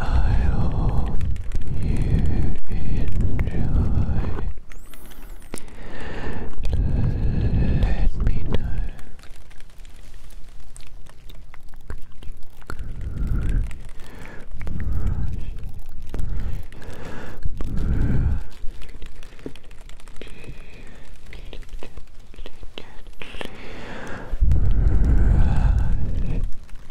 I hope you enjoy. Let me know.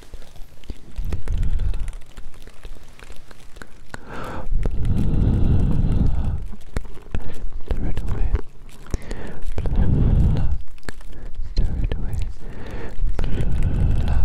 Throw it away. Pluck. Throw it away. Pluck. And throw it away. Pluck. Ah.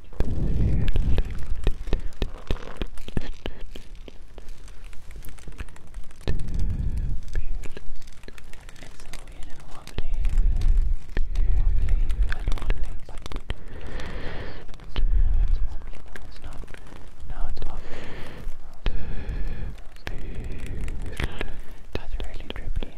it's so weird and lovely. Lovely and lovely, but it's lovely. No, it's not. No, it's lovely. That's really drippy. It's really, really, really, really,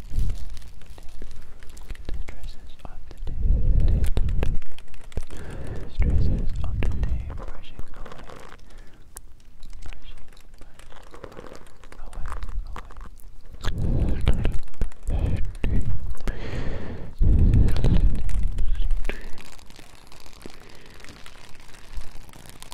Stresses of the day. Stresses of the day. Brushing away. Brushing, brushing away. Away. Away. Stresses of the day.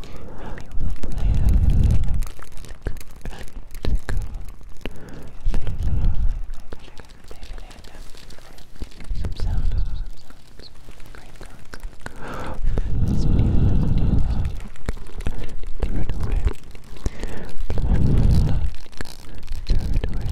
Maybe we'll play a little some sound, some sounds. This video, throw it away. Throw it away. Throw it away.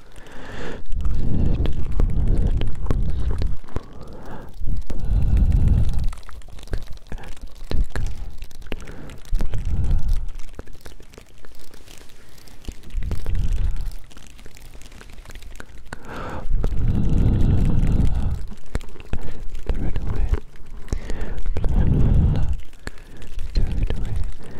Throw it away. Throw it away.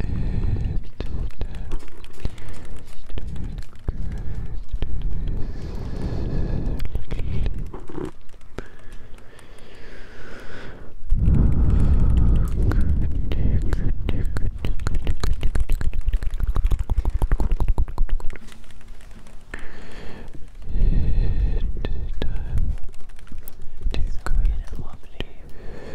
It's going to lovely.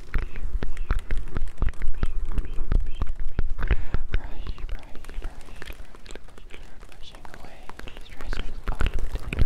Brush, brush, brush, brushing away stress of the day. Stresses of the day,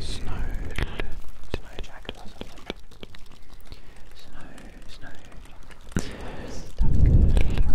Snow, snow, snow jacket or something. Snow, snow. There we go.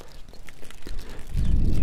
Right away.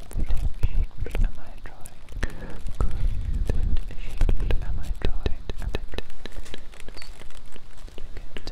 shaped am I drawing? Crescent shaped am I drawing? Look at the figure eight. Good.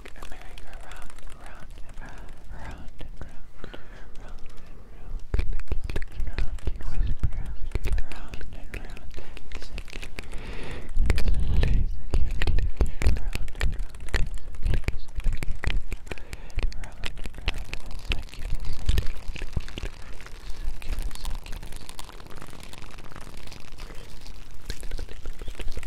like a merry-go-round, round and round, round and round, round and round, clicking around, twisting around, clicking around and round, clicking, clicking, clicking around and round, clicking, clicking, clicking around and round, circular, circular, circular, circular.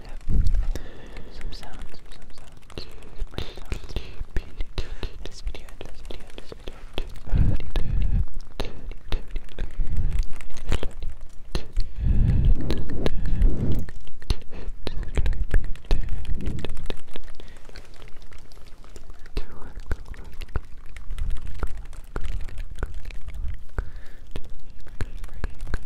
I'll have some sounds, some sounds. This video, this video, this video. Thank you.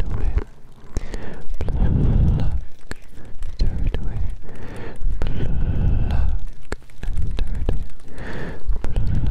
Throw it Pluck, third way. Pluck, third way. Pluck. Good sleep.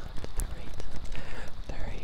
to figure out eight, eight,